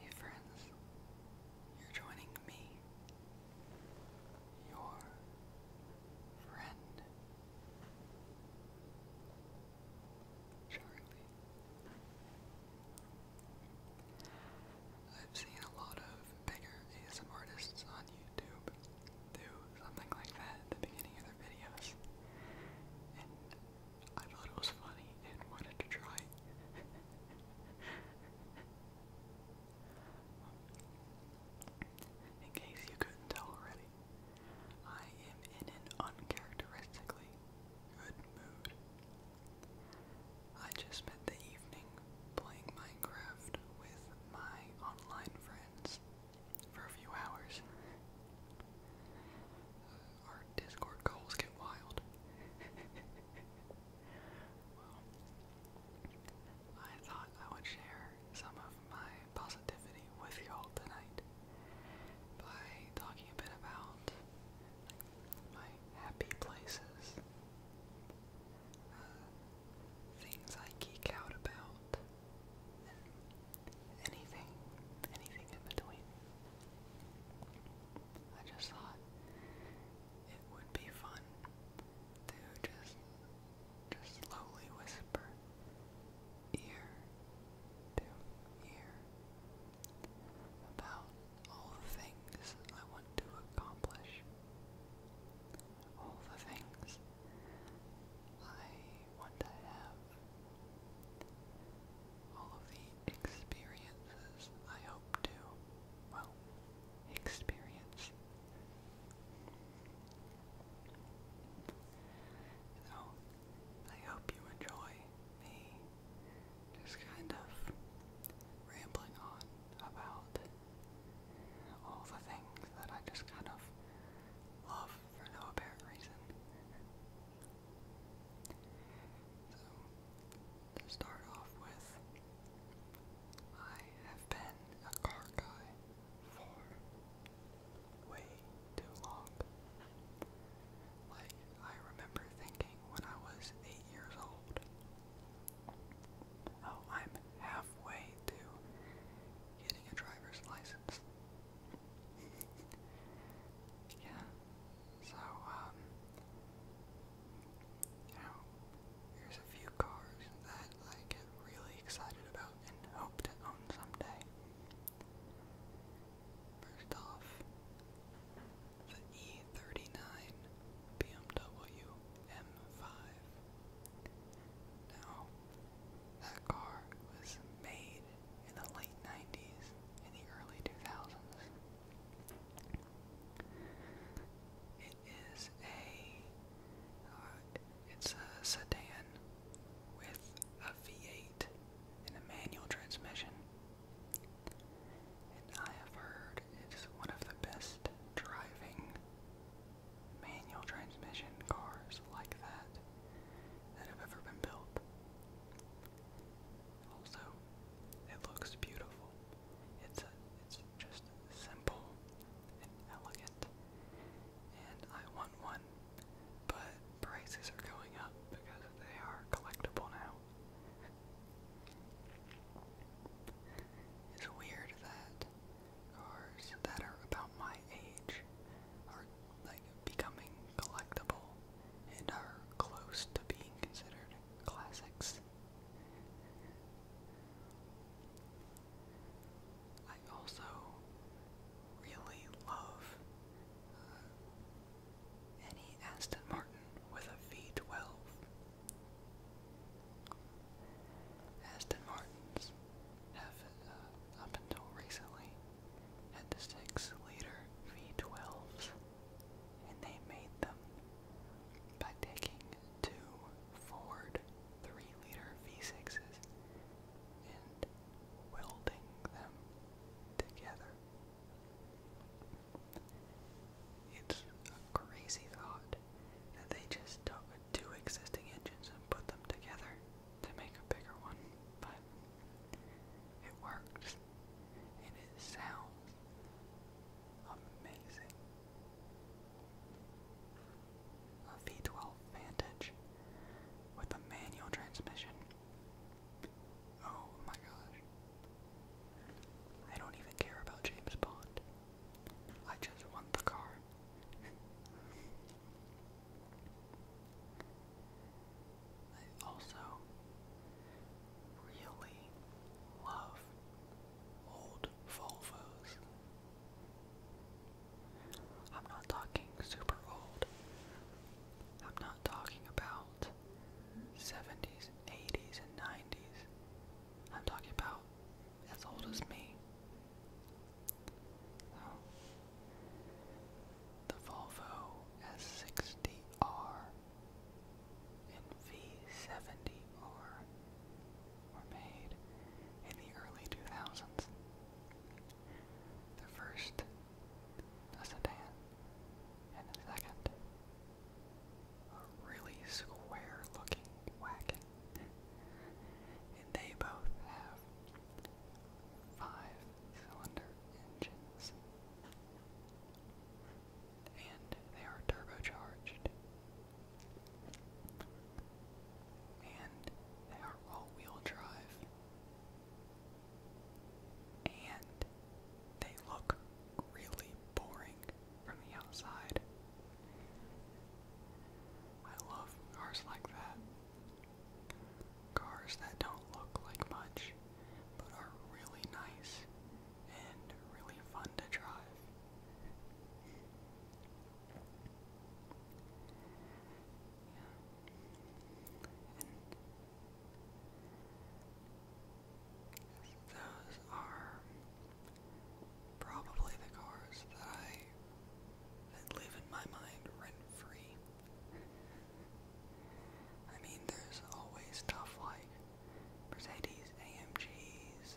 Hey friends, you're joining me, your friend, Charlie. I've seen a lot of bigger ASM artists on YouTube do something like that at the beginning of their videos. I thought it was funny and wanted to try. In case you couldn't tell already, I am in an uncharacteristically good mood. I just spent the evening playing Minecraft with my online friends for a few hours our Discord goals get wild. I thought I would share some of my positivity with y'all tonight by talking a bit about my happy places, uh, things I geek out about, and anything, anything in between. I just thought it would be fun to just just slowly whisper ear to ear about all the things I want to accomplish. All the things I want to have all of the experiences I hope to, well, experience. So, I hope you enjoy me just kind of rambling on about all the things that I just kind of love for no apparent reason. So, to start off with, I have been a car guy for way too long. Like, I remember thinking when I was eight years old, oh, I'm halfway to getting a driver's license. yeah, so, um, you know, here's a few cars that I get really excited about and hope to own someday. First off, the E39 BMW M5. Now, that car was made in the late 90s in the early 2000s. It is a uh, it's a sedan with a V8 and a manual transmission. And I have heard it's one of the best driving manual transmission cars like that that have ever been built. Also, it looks beautiful. It's a, it's just simple and elegant, and I want one. But prices are going up because they are collectible now. It's weird that cars that are about my age are like becoming collectible and are close to being considered classics. I also really love uh, any Aston Martin with a V12. Aston Martins have, uh, up until recently, had the six liter V12s, and they made them by taking two Ford three liter V6s and welding them together. It's a crazy thought that they just took two existing engines and put them together to make a bigger one, but it works it sounds amazing. A V12 Vantage with a manual transmission. Oh my gosh. I don't even care about James Bond. I just want the car. I also really love old Volvos. I'm not talking super old. I'm not talking about 70s, 80s, and 90s. I'm talking about as old as me. The Volvo S60R and V70R were made in the early 2000s. The first, a sedan, and the second, a really square looking wagon. they both have five-cylinder engines, and they are turbocharged, and they are all-wheel drive, and they look really boring from the outside. I love cars like that. Cars that don't look like much, but are really nice and really fun to drive. Yeah. And those are probably the cars that I that live in my mind rent free. I mean, there's always stuff like Mercedes AMGs,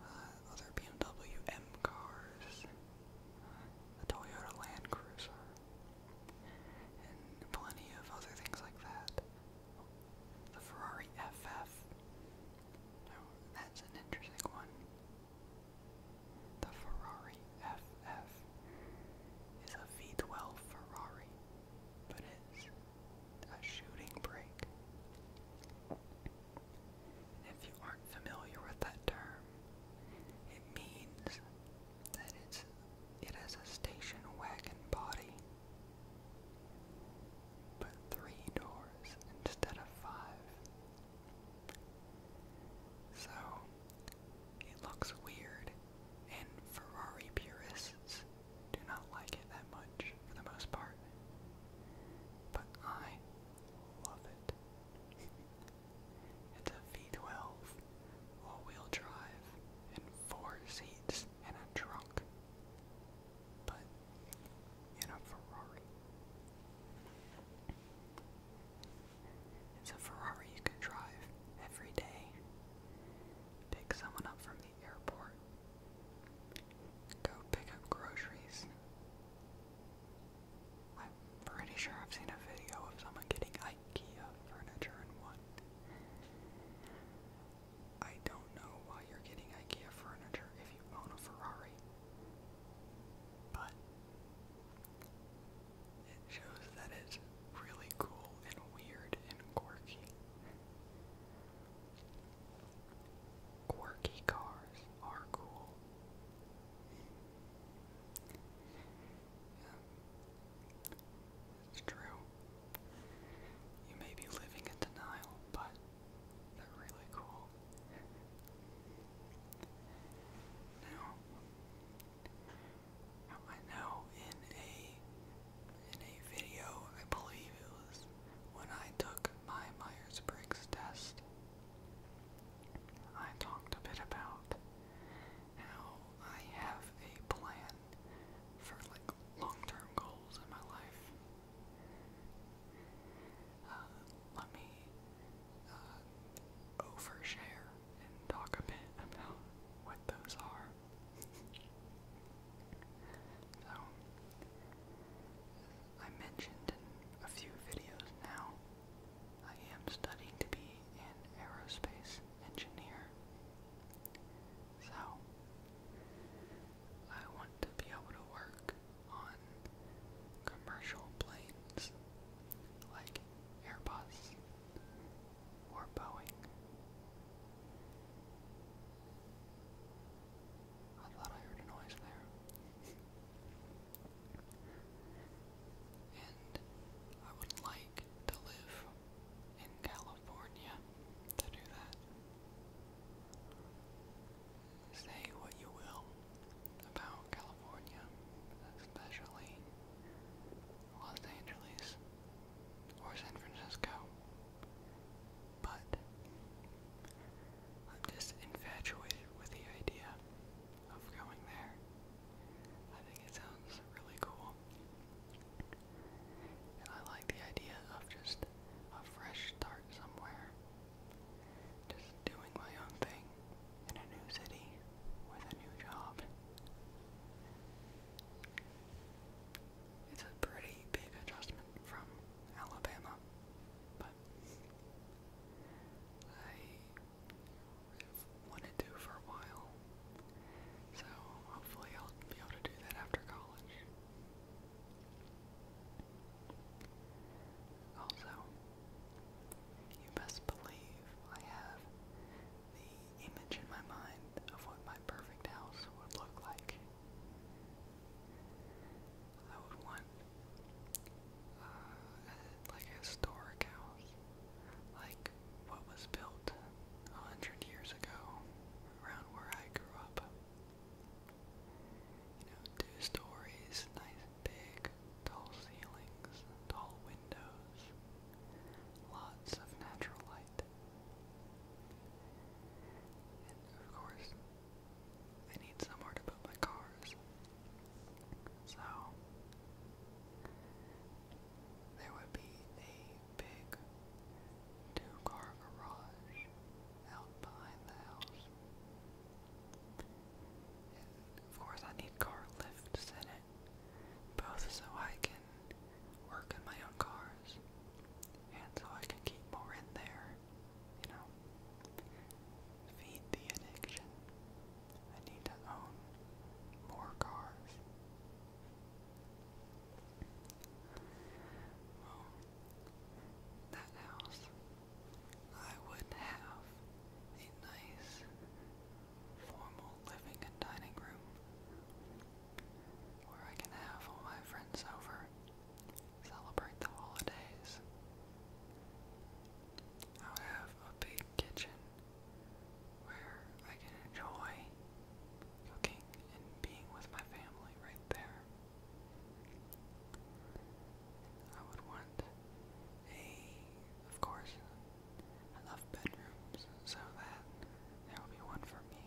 uh, other BMW M cars, a Toyota Land Cruiser, and plenty of other things like that. The Ferrari FF. No, oh, that's an interesting one. The Ferrari GFF is a V12 Ferrari, but it's a shooting brake. if you aren't familiar with that term, it means that it's it has a station wagon body, but three doors instead of five. So it looks weird and Ferrari purists do not like it that much for the most part. But I love it. it's a V12 all-wheel drive and four seats and a trunk. But in a Ferrari. It's a Ferrari you can drive every day. Pick someone up from the airport. Go pick up groceries. I'm pretty sure I've seen a video of someone getting IKEA furniture in one. I don't know why you're getting IKEA furniture if you own a Ferrari. But it shows that it's really cool and weird and quirky. Quirky cars are cool. It's true. You may be living in denial, but they're really cool. Now, I know in a in a video, I believe it was when I took my Myers-Briggs test, I talked a bit about how I have a plan for like long-term goals in my life. Uh, let me uh, overshare talk a bit about what those are. so, I mentioned in a few videos now, I am studying to be an aerospace engineer. So, I want to be able to work on commercial planes like Airbus or Boeing. I thought I heard a noise there. and I would like to live in California to do that. Say what you will about California, especially Los Angeles or San Francisco. But I'm just infatuated with the idea of going there. I think it sounds really cool. I like the idea of just a fresh start somewhere. Just doing my own thing, in a new city with a new job. It's a pretty big adjustment from Alabama, but I wanted to for a while, so hopefully I'll be able to do that after college. Also, you best believe I have the image in my mind of what my perfect house would look like. I would want uh, a, like a historic house, like what was built a hundred years ago around where I grew up. You know, two stories, nice big, tall ceilings, tall windows. Lots of natural light. And of course, I need somewhere to put my cars. So, there would be a big two car garage out behind the house. And of course, I need car lifts in it both so I can work on my own cars and so I can keep more in there, you know. Feed the addiction. I need to own more cars. Well, that house, I would have a nice formal living and dining room where I can have all my friends over, celebrate the holidays. I'll have a big kitchen where I can enjoy cooking and being with my family right there. I would want a, of course, I love bedrooms, so that there will be one for me.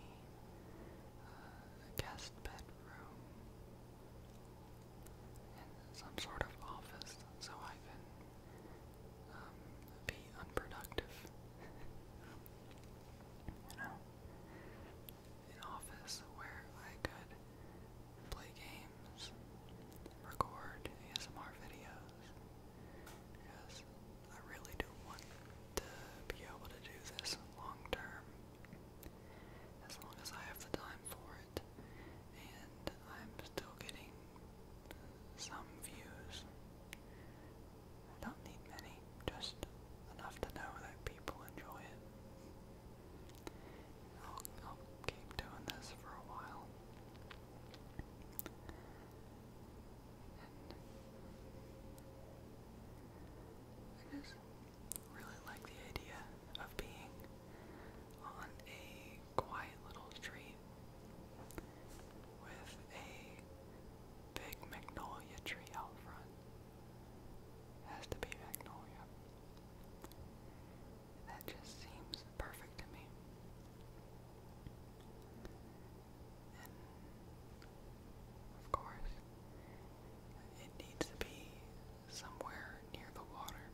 Uh, a guest bedroom. And some sort of office so I can um, be unproductive. you know? An office where I could play games, record ASMR videos, because I really do want to be able to do this long term. As long as I have the time for it. And I'm still getting some views. I don't need many, just enough to know that people enjoy it. I'll, I'll keep doing this for a while. I just really like the idea of being on a quiet little street with a big magnolia tree out front. has to be magnolia. That just seems perfect to me. And of course, it needs to be somewhere near the water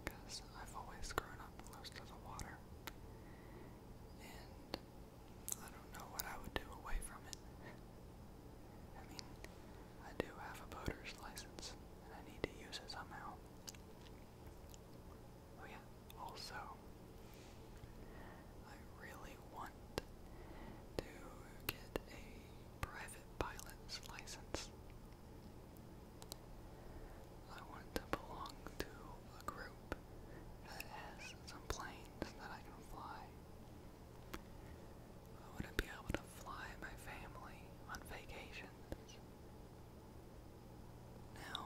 because I've always grown up close to the water. And I don't know what I would do away from it. I mean, I do have a boater's license and I need to use it somehow. Oh yeah, also I really want to get a private pilot's license. I want to belong to a group that has some planes that I can fly. I want to be able to fly my family on vacations. Now,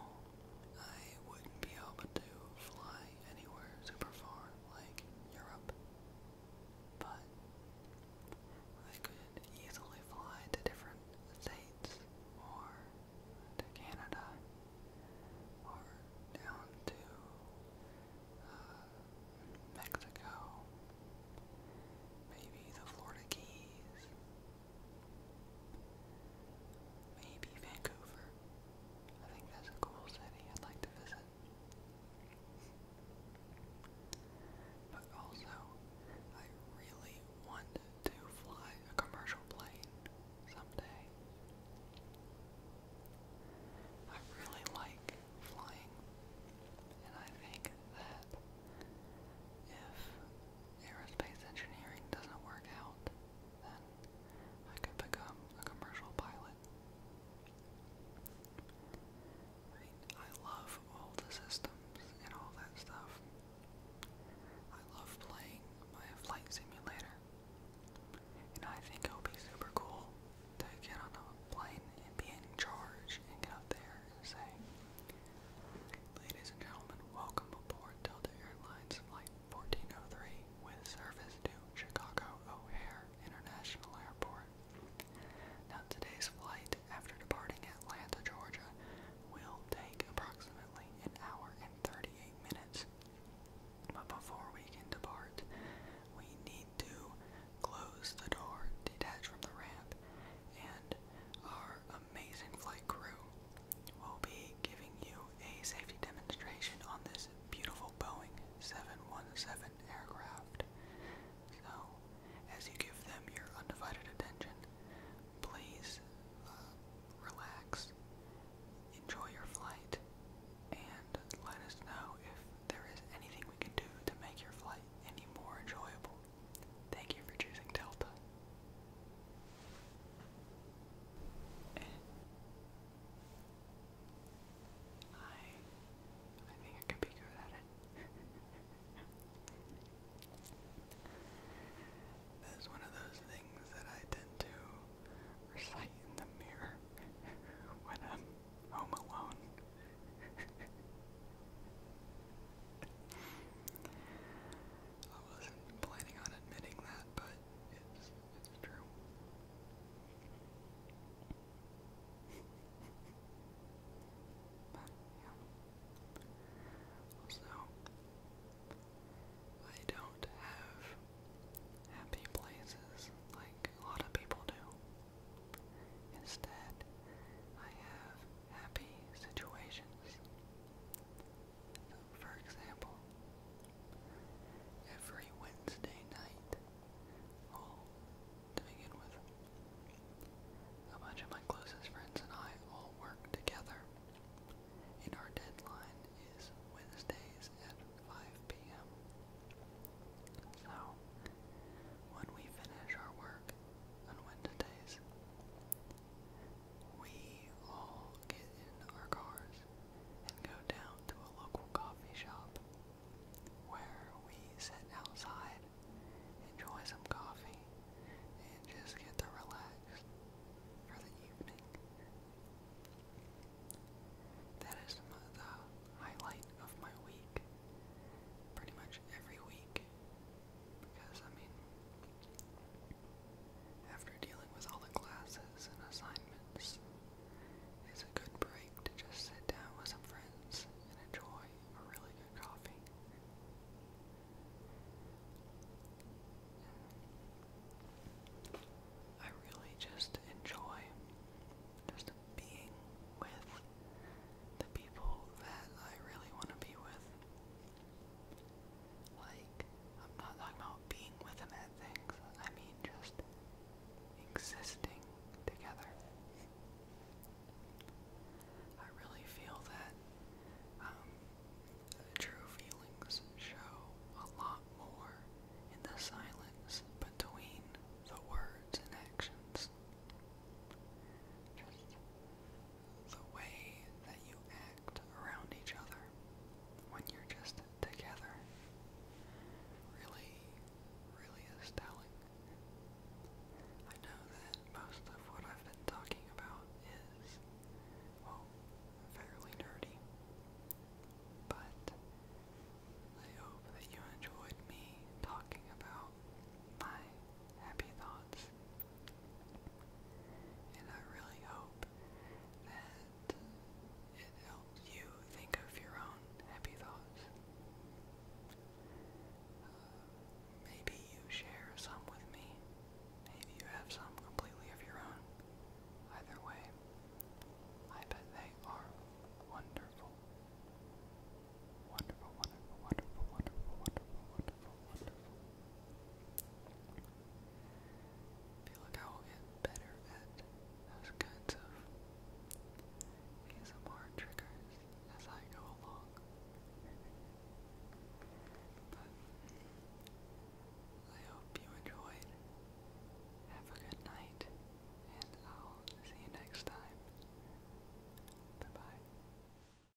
I wouldn't be able to fly anywhere super far like Europe, but I could easily fly to different states or to Canada or down to uh, Mexico, maybe the Florida Keys. Maybe Vancouver. I think that's a cool city I'd like to visit. But also, I really want to fly a commercial plane someday. I really like flying, and I think that if aerospace engineering doesn't work out, then I could become a commercial pilot. I love all the systems and all that stuff. I love playing my flight simulator. And I think it would be super cool to get on a plane and be in charge and get up there Ladies and gentlemen, welcome aboard Delta Airlines Flight 1403 with service to Chicago O'Hare International Airport. Now, today's flight, after departing Atlanta, Georgia, will take approximately an hour and 38 minutes. But before we can depart, we need to close the door, detach from the ramp, and our amazing flight crew will be giving you a safety demonstration on this beautiful Boeing 717 aircraft. So, as you give them your undivided attention, please uh, relax, enjoy your flight, and let us know if there is anything we can do to make your flight any more enjoyable. Thank you for choosing Delta. I I think I could be good at it. that is one of those things that I tend to recite in the mirror when I'm home alone. I wasn't planning on admitting that, but it's true. Also, I don't have happy places like a lot of people do. Instead, I have happy situations. So, for example, every Wednesday night, all to with, a bunch of my closest friends and I all work together, and our deadline is Wednesdays at 5 p.m. So, when we finish our work on Wednesdays, we all get in our cars and go down to a local coffee shop where we sit outside, enjoy some coffee, and just get to relax for the evening. That is the highlight of my week. Pretty much every week. Because, I mean, after dealing with all the classes and assignments, it's a good break to just sit down with some friends and enjoy a really good coffee. I really just enjoy just being with the people that I really want to be with. Like, I'm not talking about being with him at things, I mean just existing together. I really feel that um, true feelings show a lot more in the silence between the words and actions the way that you act around each other when you're just together really, really is telling. I know that most of what I've been talking about is, well, fairly nerdy, but I hope that you enjoyed me talking about my happy thoughts and I really hope that it helps you think of your own happy thoughts. Uh, maybe you share some with me. Maybe you have some completely of your own. Either way, I bet they are Wonderful, wonderful, wonderful, wonderful, wonderful, wonderful. I feel like I will get better at those kinds of ASMR triggers as I go along. But I hope you enjoyed. Have a good night, and I'll see you next time. Bye bye.